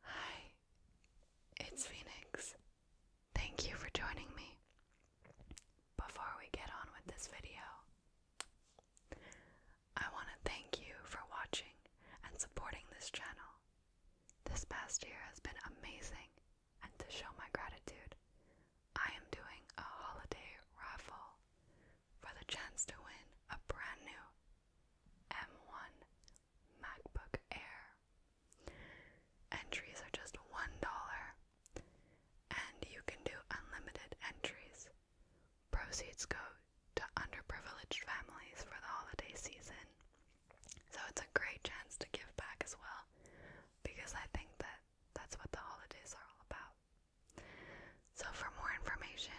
Hi, it's Phoenix. Thank you for joining me. Before we get on with this video, I want to thank you for watching and supporting this channel. This past year has been amazing, and to show my gratitude, I am doing a holiday raffle for the chance to win a brand new M1 MacBook Air. Entries are just $1, and you can do unlimited entries. Proceeds go to underprivileged families for the holiday season. So it's a great chance to give back as well, because I think that that's what the holidays are all about. So, for more information,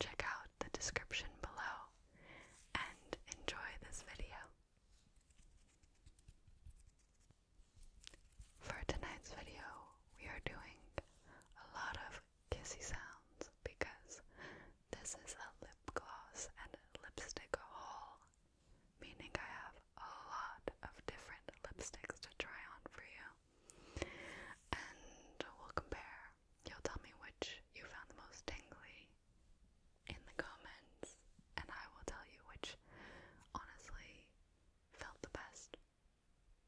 check out the description below and enjoy this video. For tonight's video, we are doing a lot of kissy sounds because this is a lip gloss and lipstick haul, meaning I have a lot of different lipsticks to try on for you. And we'll compare you'll tell me which you found the most tingly in the comments, and I will tell you which honestly felt the best.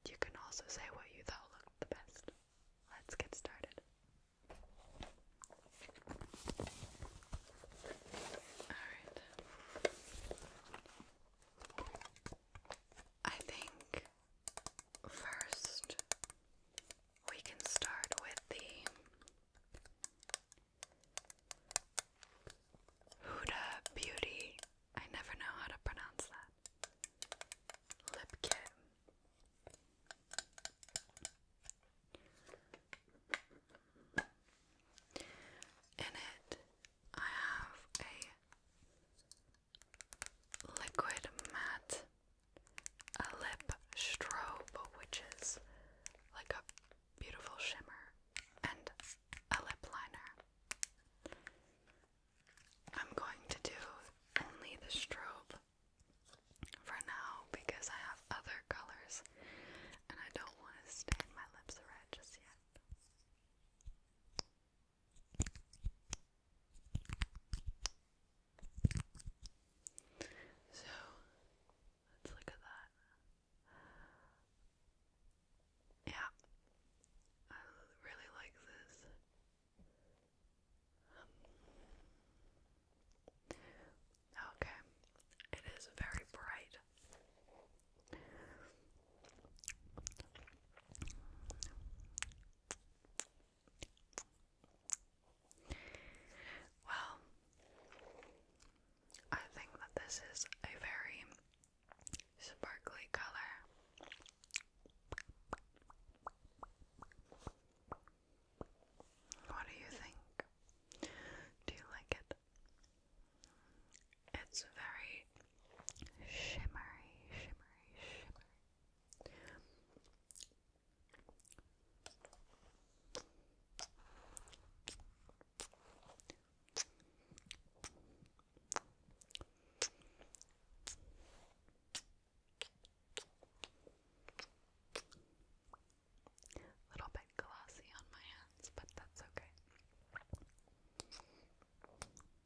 You can also say what you thought looked the best. Let's get started. Alright. I think First, we can start with the Huda Beauty. I never know how to pronounce that. Lip kit. In it, I have a liquid matte a lip strobe, which is like a beautiful shimmer, and a lip liner. I'm going to do only the strobe for now because I have other colors and I don't want to stain my lips red just yet. So let's look at that. Yeah, I really like this. okay, it is very bright. Well, I think that this is a very sparkly color. What do you think? Do you like it? It's very shimmery, shimmery, shimmery. A little bit glossy on my hands, but that's okay. So,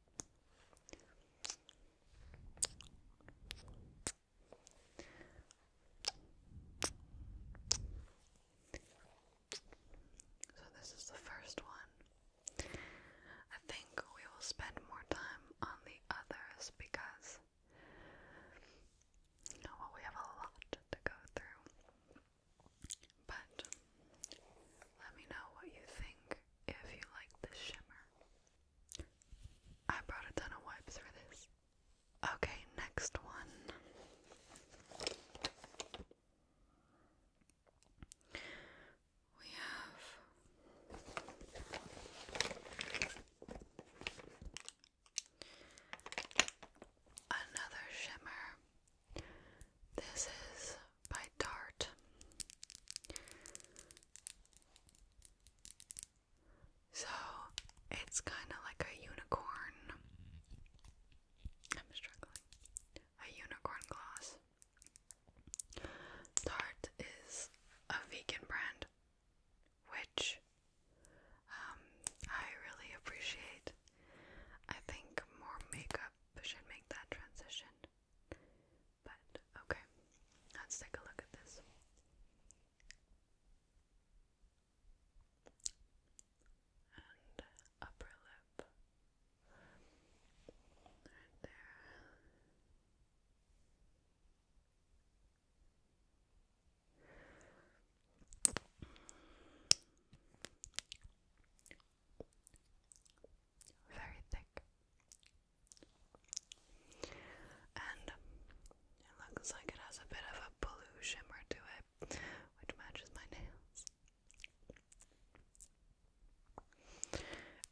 this is the first one. I think we will spend more time on the others because well, we have a lot to go through. But let me know what you think if you like the shimmer. I brought a ton of wipes for this. Okay, next one. We have another shimmer. This is by Tarte. So it's kind of like a unicorn. I'm struggling. A unicorn gloss. Tarte is a vegan brand, which um, I really appreciate. I think more makeup should make that transition. But okay, let's take a look at this. And upper lip. Right there very thick. And it looks like it has a bit of a blue shimmer to it, which matches my nails.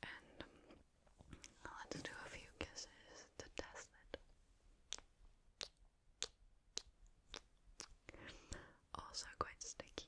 And um, let's do a few kisses to test it. Also, quite sticky.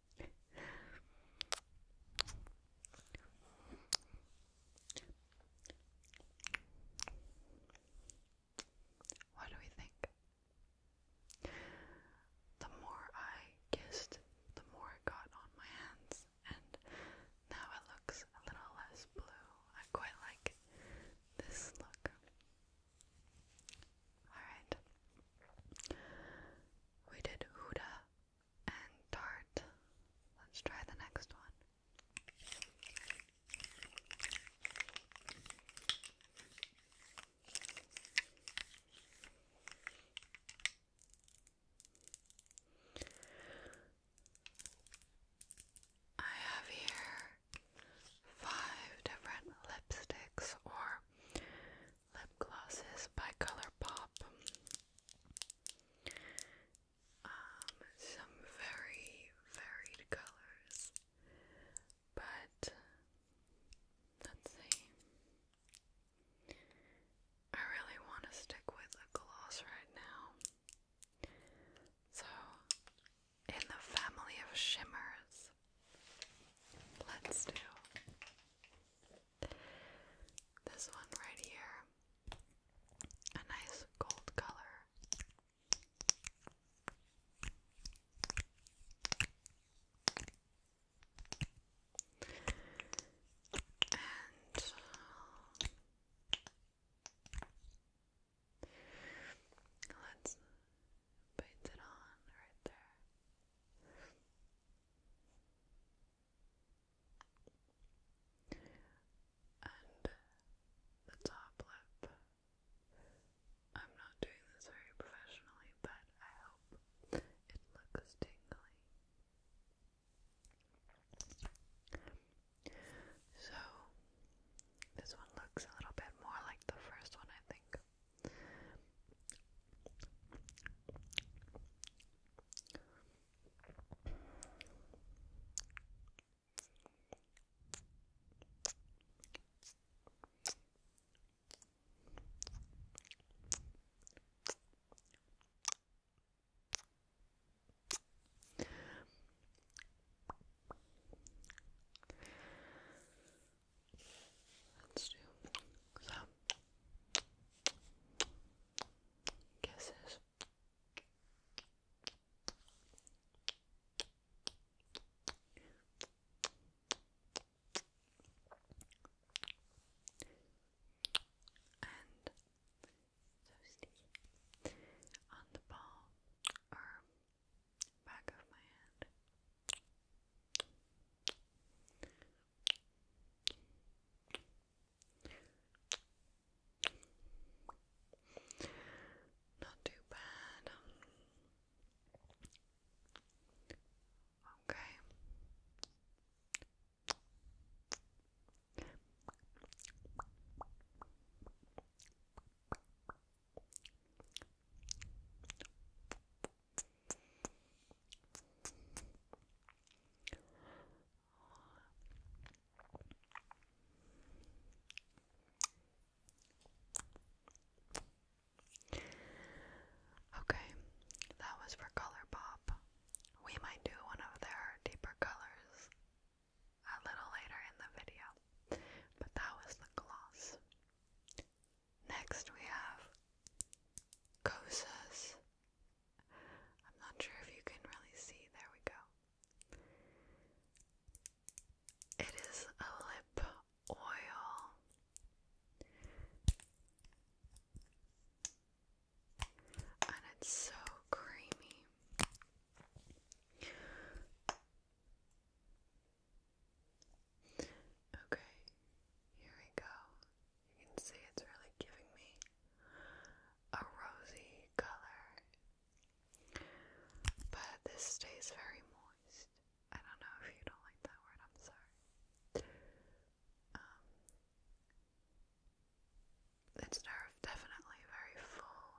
What do we think? The more I kissed, the more it got on my hands, and now it looks a little less blue. I quite like this look. Alright. We did Huda and tart. Let's try the next one. I have here five different lipsticks or lip glosses by ColourPop. Um, some very varied colors, but let's see. I really want to stick with a gloss right now. So, in the family of shimmers, let's do this one right here, a nice gold color. And um, let's paint it on right there and the top lip. I'm not doing this very professionally, but I hope it looks tingly. So, this one looks a little bit more like the first one, I think. Let's do so Kisses. And toasty on the ball or back of my hand. Not too bad. Okay. Okay, that was for Color We might do one of their deeper colors a little later in the video, but that was the gloss. Next we have Cosas. I'm not sure if you can really see. There we go. It is a lip oil. And it's so creamy. Okay, here we go. You can see it's really giving me a rosy color. But this stays very moist. I don't know if you don't like that word, I'm sorry. Um, it's definitely very full.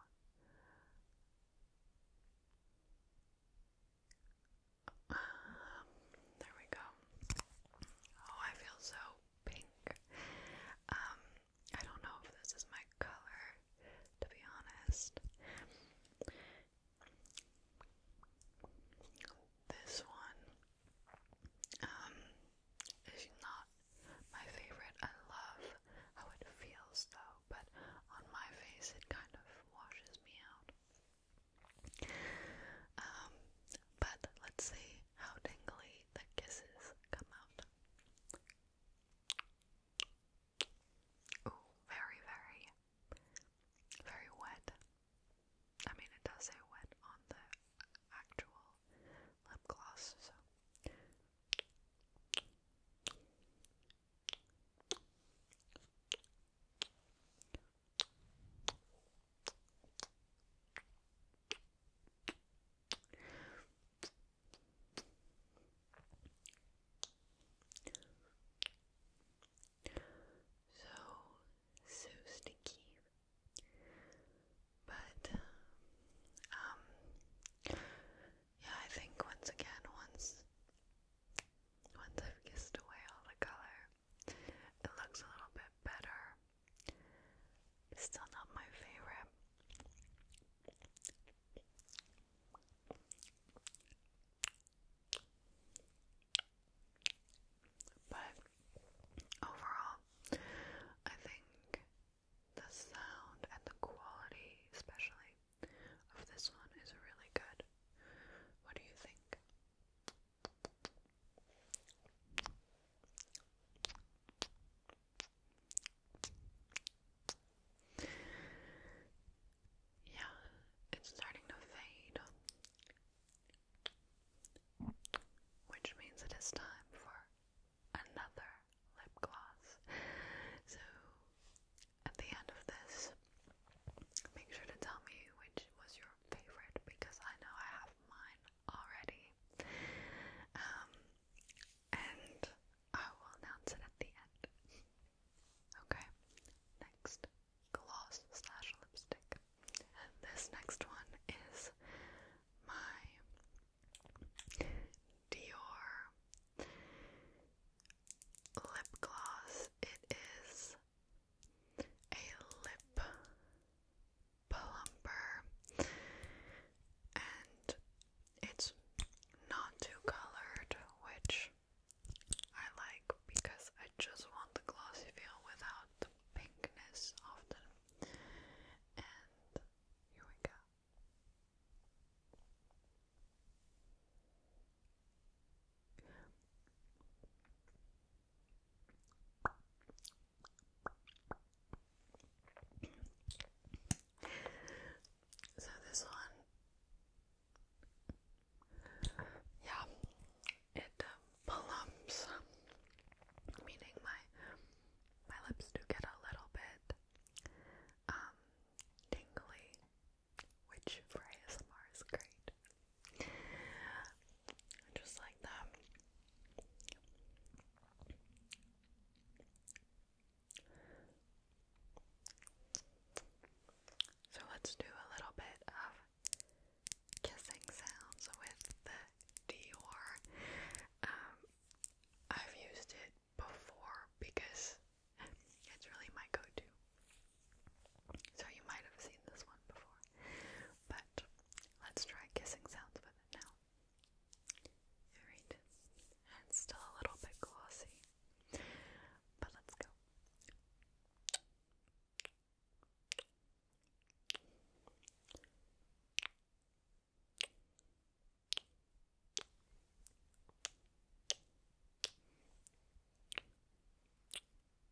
Um, there we go. Oh, I feel so pink. Um, I don't know if this is my color, to be honest. This one um, is not my favorite. I love how it feels though, but on my face it kind of washes me out. Um, but let's see how tingly the kisses come out. Ooh, very, very, very wet. I mean, it does say wet on the actual lip gloss, so. So, so sticky. But, um, yeah, I think once again, once, once I've kissed away all the color, it looks a little bit better. still not my favorite. But overall, I think the sound and the quality, especially of this one, is really good. What do you think? Yeah, it's starting to fade, which means it is time for another lip gloss. So, at the end of this, make sure to tell me which was your favorite because I know I have mine already. Um, and I will announce it at the end. Okay, next gloss slash lipstick. This next one is my Dior lip gloss. It is a lip plumper, and it's not too colored, which I like because I just want the glossy feel without the pinkness often. And here we go. So this one, yeah, it uh, plumps, meaning my my lips do get a little bit um, tingly, which for ASMR is great. Just like that. So let's do a little bit of kissing sounds with the Dior. Um, I've used it before because it's really my go to. So you might have seen this one before. But let's try kissing sounds with it now. Alright. it's still a little bit glossy. But let's go.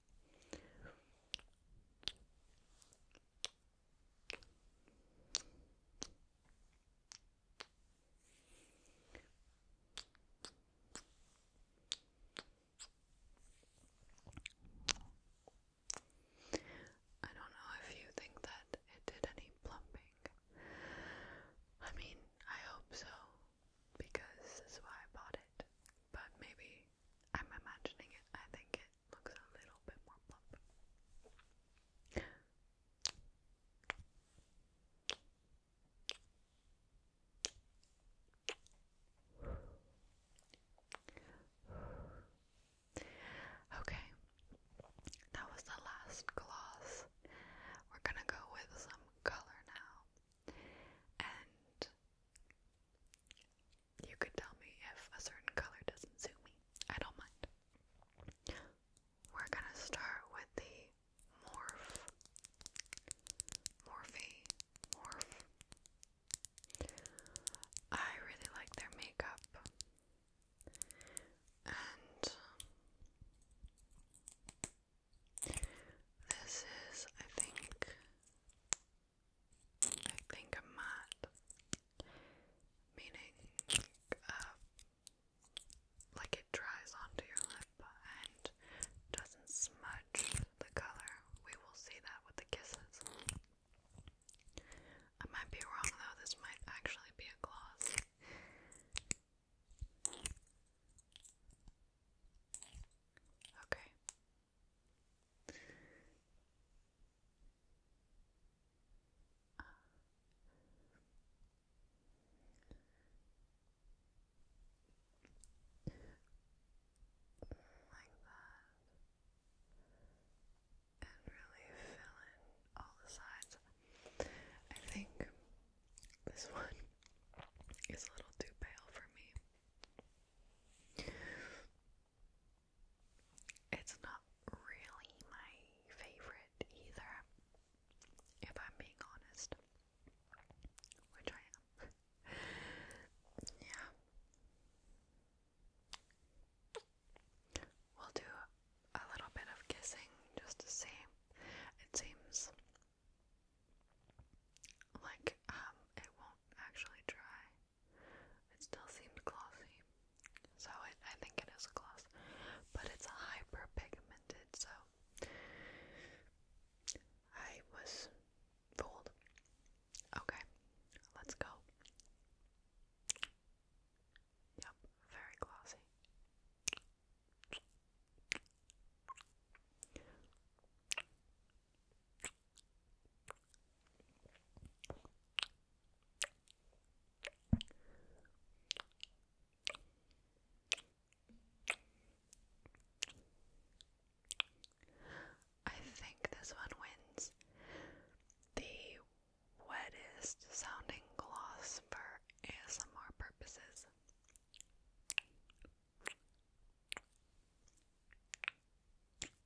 I don't know if you think that it did any plumping. I mean, I hope so because that's why I bought it. But maybe I'm imagining it. I think it looks a little bit more plump. Okay, that was the last gloss. We're gonna go with some color now. And you could tell me if a certain color doesn't suit me. I don't mind. We're gonna start with the morph. Morphe. Morph. I really like their makeup. And um, this is, I think, I think I'm Meaning, uh, like it dries onto your lip and doesn't smudge the color. We will see that with the kisses. I might be wrong though, this might actually be a gloss. Okay, like that. And really fill in all the sides. I think this one is a little too pale for me. It's not really my favorite either, if I'm being honest. Which I am. yeah. We'll do a little bit of kissing just to see. It seems like um it won't actually dry. It still seems glossy. So I think it is a gloss. But it's a hyper pigmented, so I was fooled. Okay, let's go. Yep, very glossy. I think this one wins the wettest sounding gloss for ASMR purposes.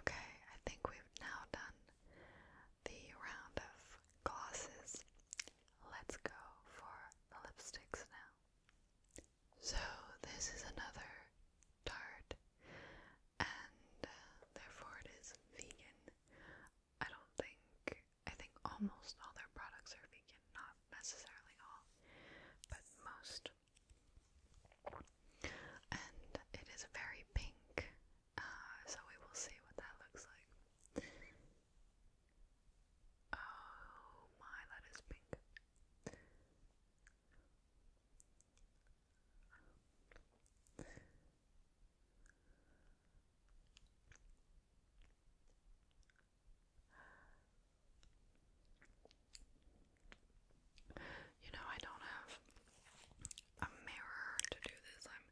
Okay, I think we've now done the round of glosses. Let's go for the lipsticks now. So, this is another tart, and uh, therefore it is vegan. I don't think, I think almost all their products are vegan, not necessarily all, but most and it is very pink, uh, so we will see what that looks like. Oh my, that is pink. You know, I don't have a mirror to do this. I'm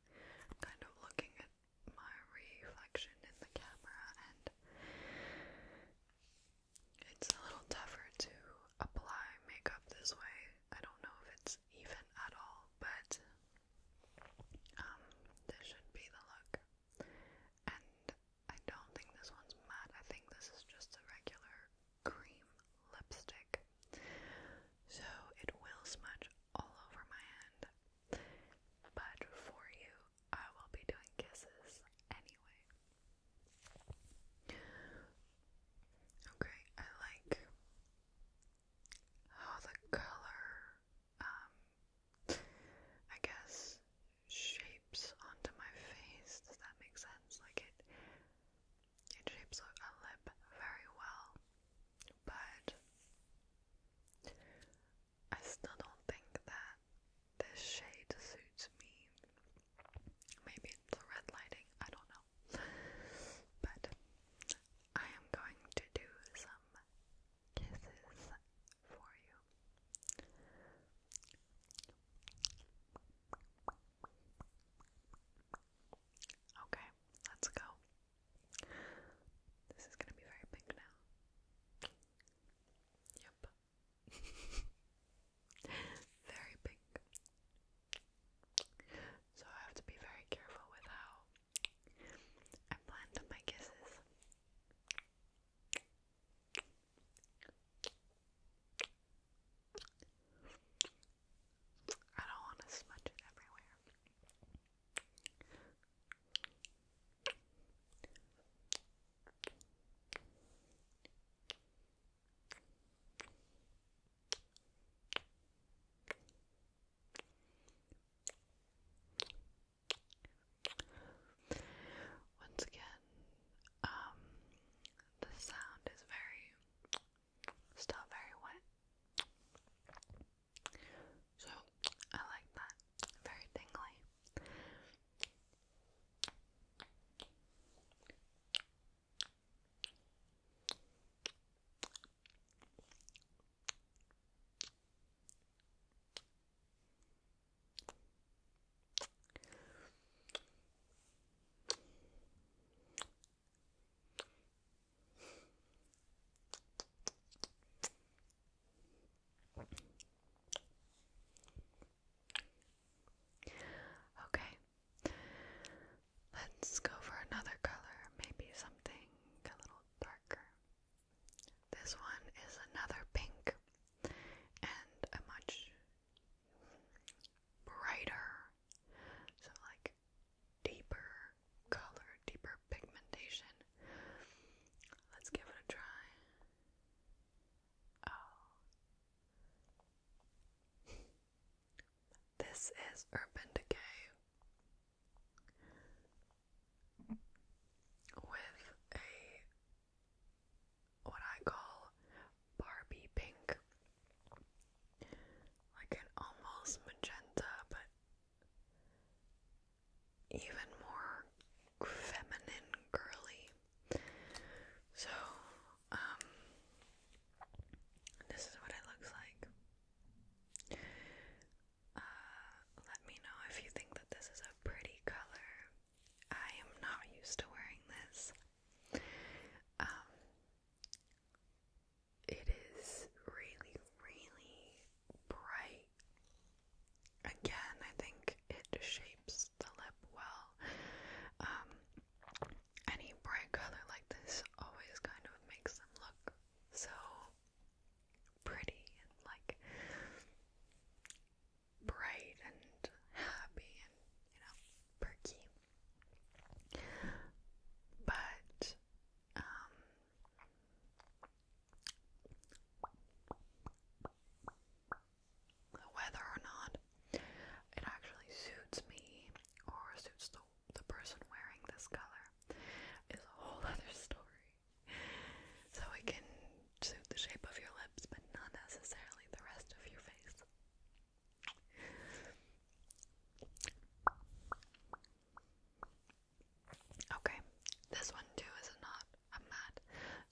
kind of looking at my reflection in the camera, and it's a little tougher to apply makeup this way. I don't know if it's even at all, but um, this should be the look. And I don't think this one's matte. I think this is just a regular cream lipstick. So it will smudge all over my hand. But for you, I will be doing kisses anyway. Okay, I like how the color, um, I guess shapes onto my face. Does that make sense? Like it, it shapes a lip very well, but I still don't think that this shade suits me. Maybe it's the red lighting, I don't know. But I am going to do some kisses for you. Okay, let's go. This is going to be very pink now. Yep. very pink. So I have to be very careful with how I blend my kisses. I don't want to smudge it everywhere. Okay. Once again, um, the sound is very, still very wet. So I like that. Very tingly. Okay, let's go for another color, maybe something a little darker. This one is another pink and a much brighter, so like deeper color, deeper pigmentation. Let's give it a try. Oh. this is Urban Decay with a what I call Barbie pink. Like an almost magenta, but even more feminine girly. So, um, this is what it looks like. Uh, let me know if you think that this is a pretty color. I am not used to wearing this. Um, it is really, really bright. Again, I think it shapes the lip well. Um, any bright color like this always kind of makes them look so pretty and like bright and happy and, you know, perky. But, whether um, or not it actually suits me or suits the, the person wearing this color is a whole other story. so it can suit the shape of your lips, but not necessarily the rest of your face. Okay, this one too is a not a matte,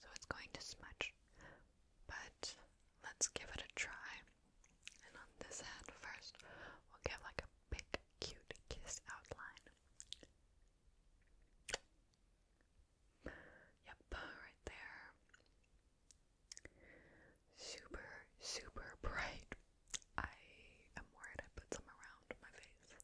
so it's going to smudge, but let's give it a try. And on this head first, we'll give like a big, cute kiss outline. Yep, right there. Super, super bright. I am worried I put some around my face.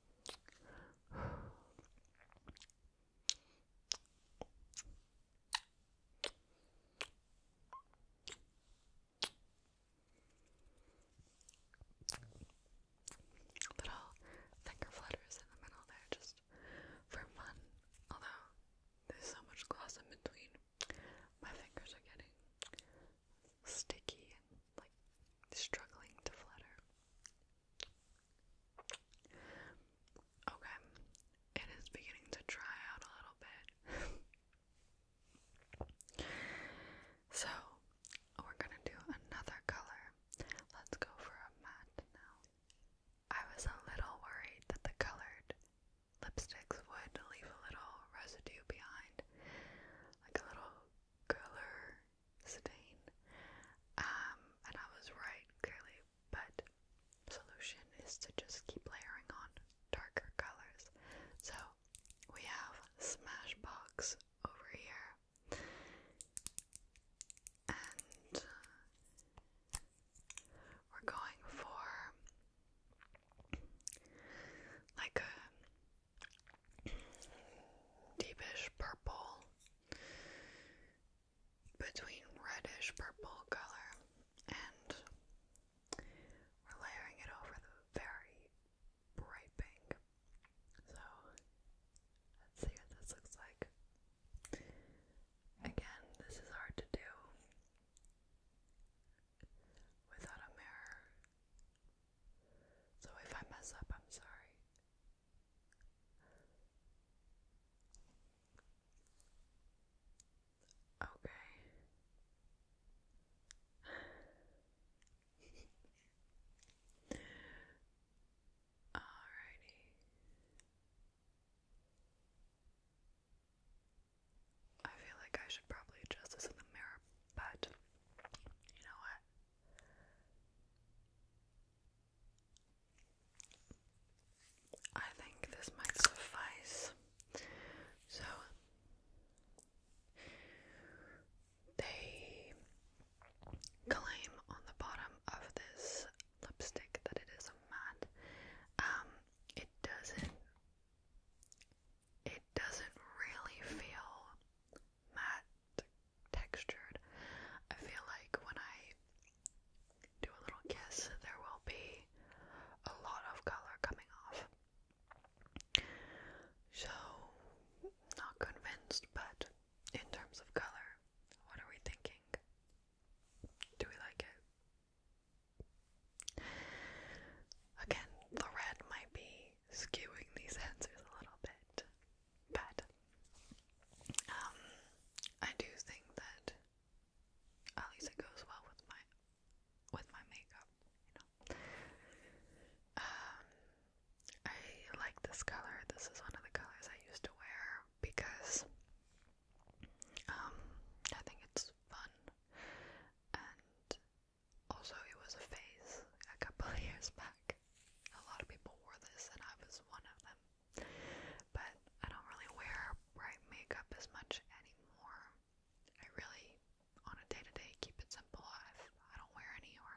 Little finger flutters in the middle there just for fun. Although there's so much gloss in between, my fingers are getting sticky like struggling to flutter. Okay, it is beginning to dry out a little bit. so, we're gonna do another color. Let's go for a matte now. I was a little worried that the colored lipsticks would leave a little residue behind, like a little color stain. Um, and I was right, clearly, but solution is to just keep layering on darker colors. So we have Smashbox over here. And uh, we're going for like a deepish purple, between reddish purple color, and we're layering it over the very bright pink. So let's see what this looks like. Again, this is hard to do without a mirror. So if I mess up, I'm sorry. Okay. Alrighty. I feel like I should probably adjust this in the mirror, but you know what? I think this might suffice. So they claim on the bottom of this lipstick that it is matte. Um, it doesn't. It doesn't really feel matte textured. I feel like when I do a little kiss, there will be a lot of color coming off. So, not convinced, but in terms of color, what are we thinking? Do we like it? Again, the red might be skewing these answers a little bit, but um, I do think that at least it goes well with my with my makeup, you know. Um, I like this color. This is one of the colors I used to wear because um, I think it's fun and. Also, it was a phase a couple of years back a lot of people wore this and I was one of them. But I don't really wear bright makeup as much anymore. I really, on a day to day, keep it simple. I've, I do not wear any, or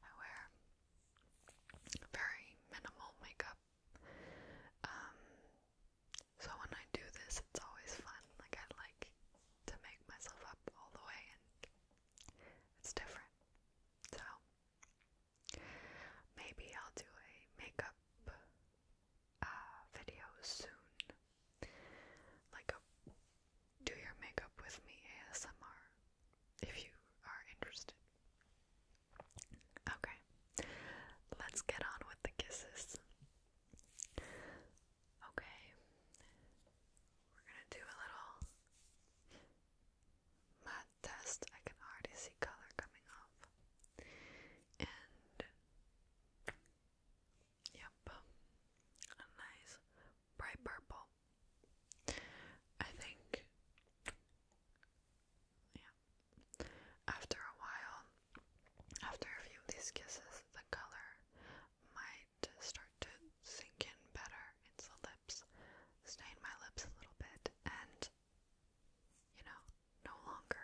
I wear very minimal makeup. Um, so when I do this, it's always fun. Like I like to make myself up all the way it's different. So maybe I'll do a makeup uh, video soon. Like a do your makeup with me ASMR if you are interested. Okay, let's get on with the kisses. Okay, we're gonna do a little matte test. I can already see color coming off. And yep, a nice bright purple. I think yeah. After a while, after a few of these kisses, the color might to start to sink in better. It's the lips. Stain my lips a little bit and, you know, no longer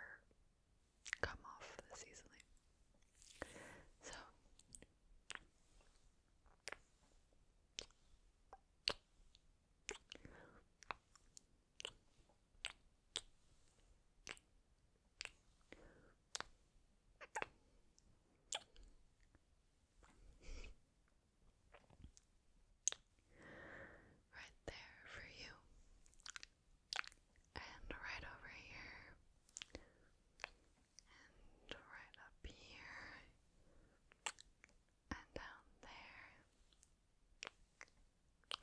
come off this easily. So, Right there for you. And right over here. And right up here. And down there.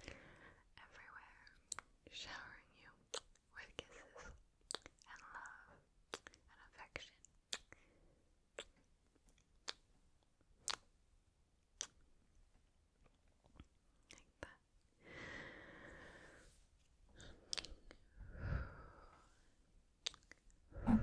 Everywhere. Showering you with kisses and love and affection. Like that.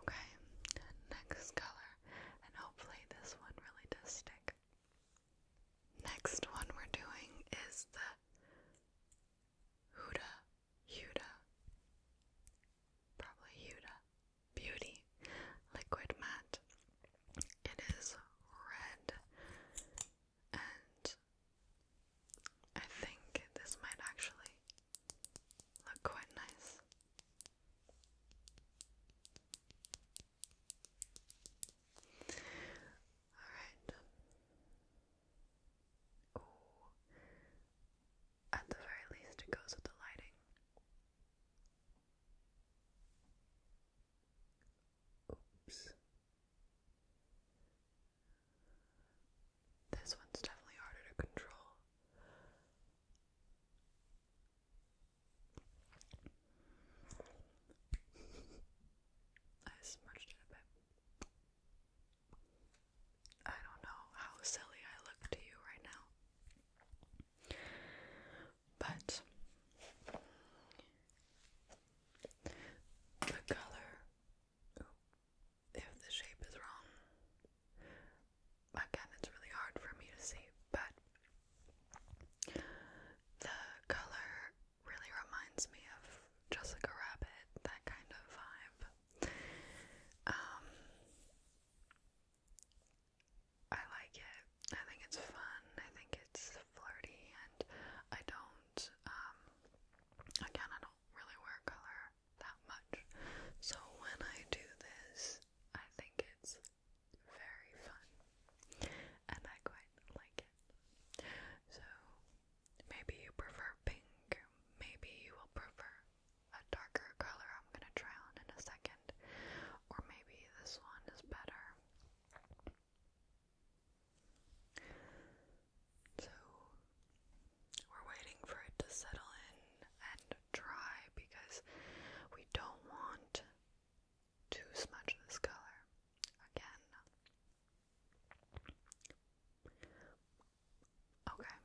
Okay, next color, and hopefully this one really does stick. Next one we're doing is the Huda, Huda, probably Huda Beauty Liquid Matte. It is red, and I think this might actually look quite nice. Alright. Ooh. At the very least, it goes with the lighting. Oops. This one's definitely harder to control. I smudged it a bit. I don't know how silly I look to you right now. But the color, if the shape is wrong, again, it's really hard for me to see, but the color really reminds me of Jessica Rabbit, that kind of vibe. Um, I like it. I think it's fun. I think it's flirty, and I don't. Um, again, I don't really wear color that much, so when I do this, I think it's very fun, and I quite like so maybe you prefer pink, maybe you will prefer a darker color I'm gonna try on in a second, or maybe this one is better. So we're waiting for it to settle in and dry because we don't want too smudge this color again. Okay,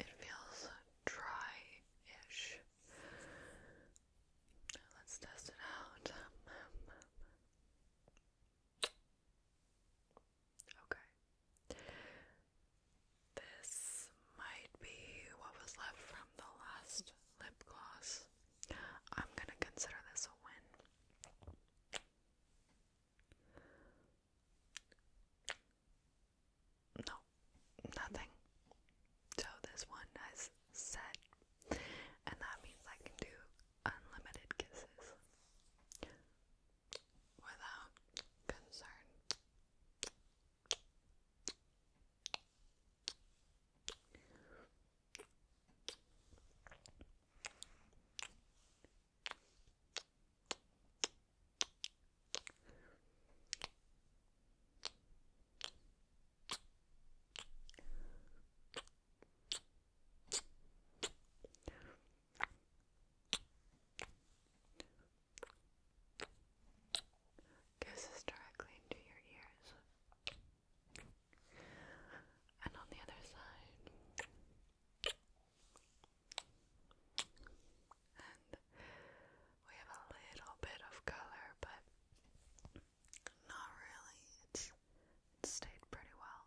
it feels dry-ish. Let's test it out. Okay. This might be what was left from the last lip gloss. I'm gonna consider this a win. No, nothing. So this one has set, and that means I can do unlimited kisses without concern. Goes directly into your ears. And on the other side. And we have a little bit of color, but not really. It's stayed pretty well.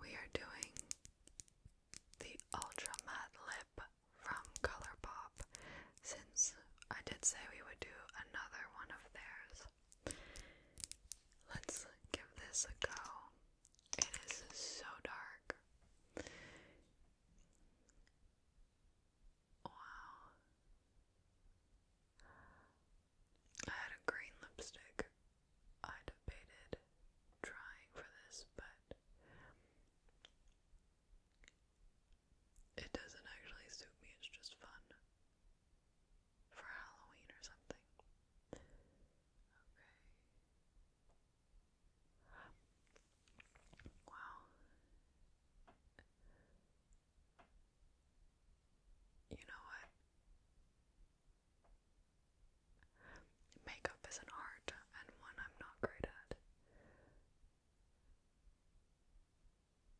we are doing the Ultra Matte Lip from Colourpop since I did say we would do another one of theirs. Let's give this a go. It is so dark. Wow. I had a green lipstick I debated trying for this, but it doesn't actually suit me, it's just fun for Halloween or something. Okay. Wow. You know what? Makeup is an art and one I'm not great at.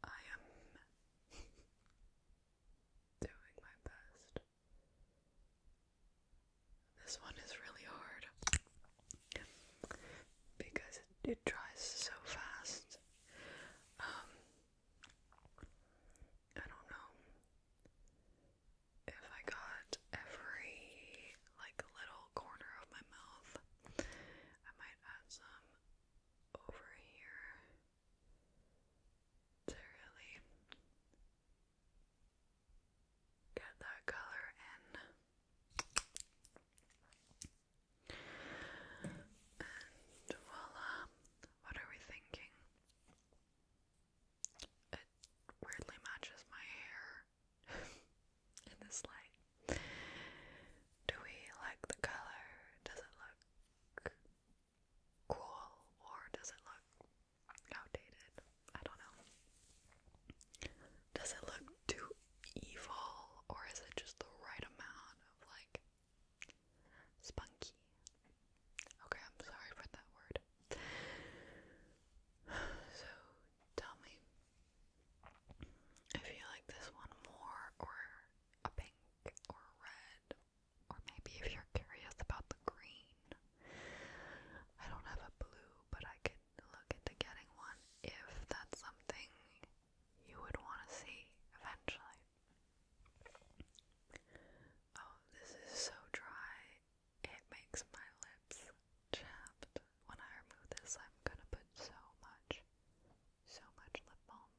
I am doing my best. This one is really hard because it, it dries so fast. Um, I don't know if I got every like little corner of my mouth, I might add some over here to really get that color in. And voila, what are we thinking? it weirdly matches my hair in this light. Do we like the color? Does it look cool or does it look outdated? I don't know. Does it look too evil or is it just the right amount of like spunky? Okay, I'm sorry for that word. So, tell me if you like this one more, or a pink, or red, or maybe if you're curious about the green. I don't have a blue, but I could look into getting one if that's something you would want to see eventually. Oh, this is so dry. It makes my lips chapped. When I remove this, I'm gonna put so much, so much lip balm.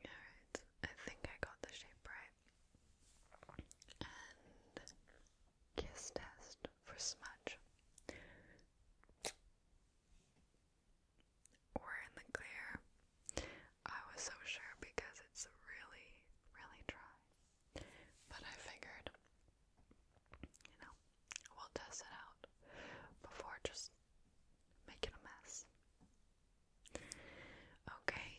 Alright, I think I got the shape right. And kiss test for smudge. We're in the clear. I was so sure because it's really, really dry. But I figured, you know, we'll test it out before just making a mess. Okay.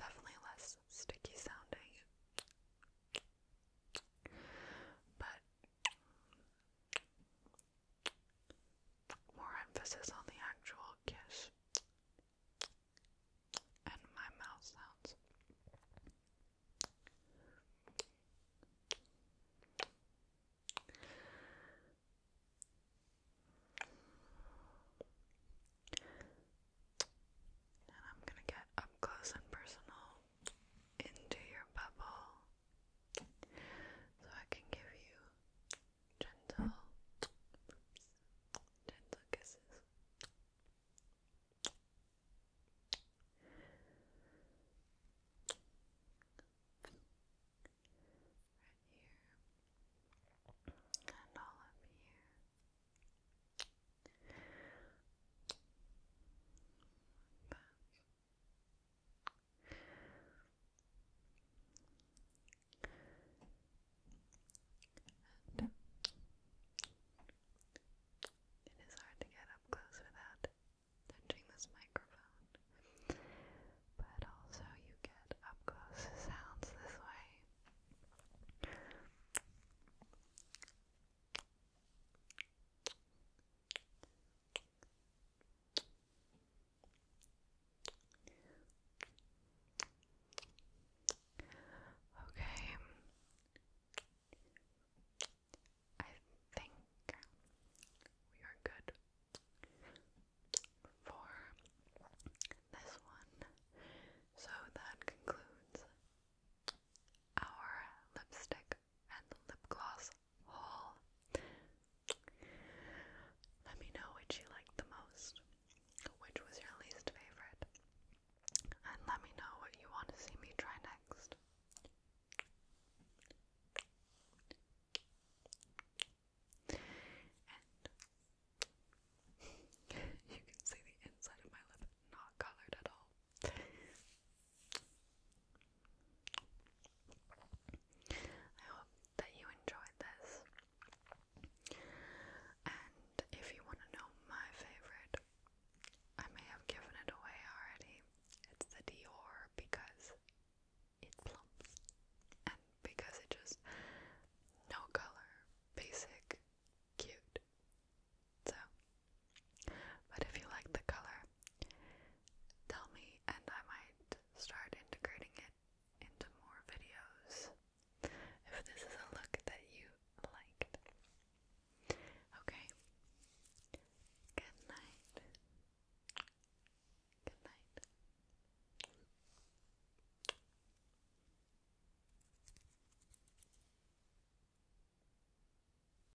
Definitely less sticky sounding. But more emphasis on the actual kiss and my mouth sounds. And I'm going to get up close and personal into your bubble so I can give you gentle, gentle kisses. Right here and all up here. And it is hard to get up close without touching this microphone, but also you get up close sounds this way. Okay. I think we are good for this one. So that concludes our lipstick and the lip gloss haul. Let me know which you liked the most, which was your least favorite, and let me know what you want to see me try next. you can see the inside of my lip not colored at all. I hope that you enjoyed this. And if you want to know my favorite, I may have given it away already. It's the Dior because it plumps and because it just no color, basic, cute. So but if you like the color, tell me and I might start integrating it into more videos if this is a look that you liked. Okay. Good night. Good night.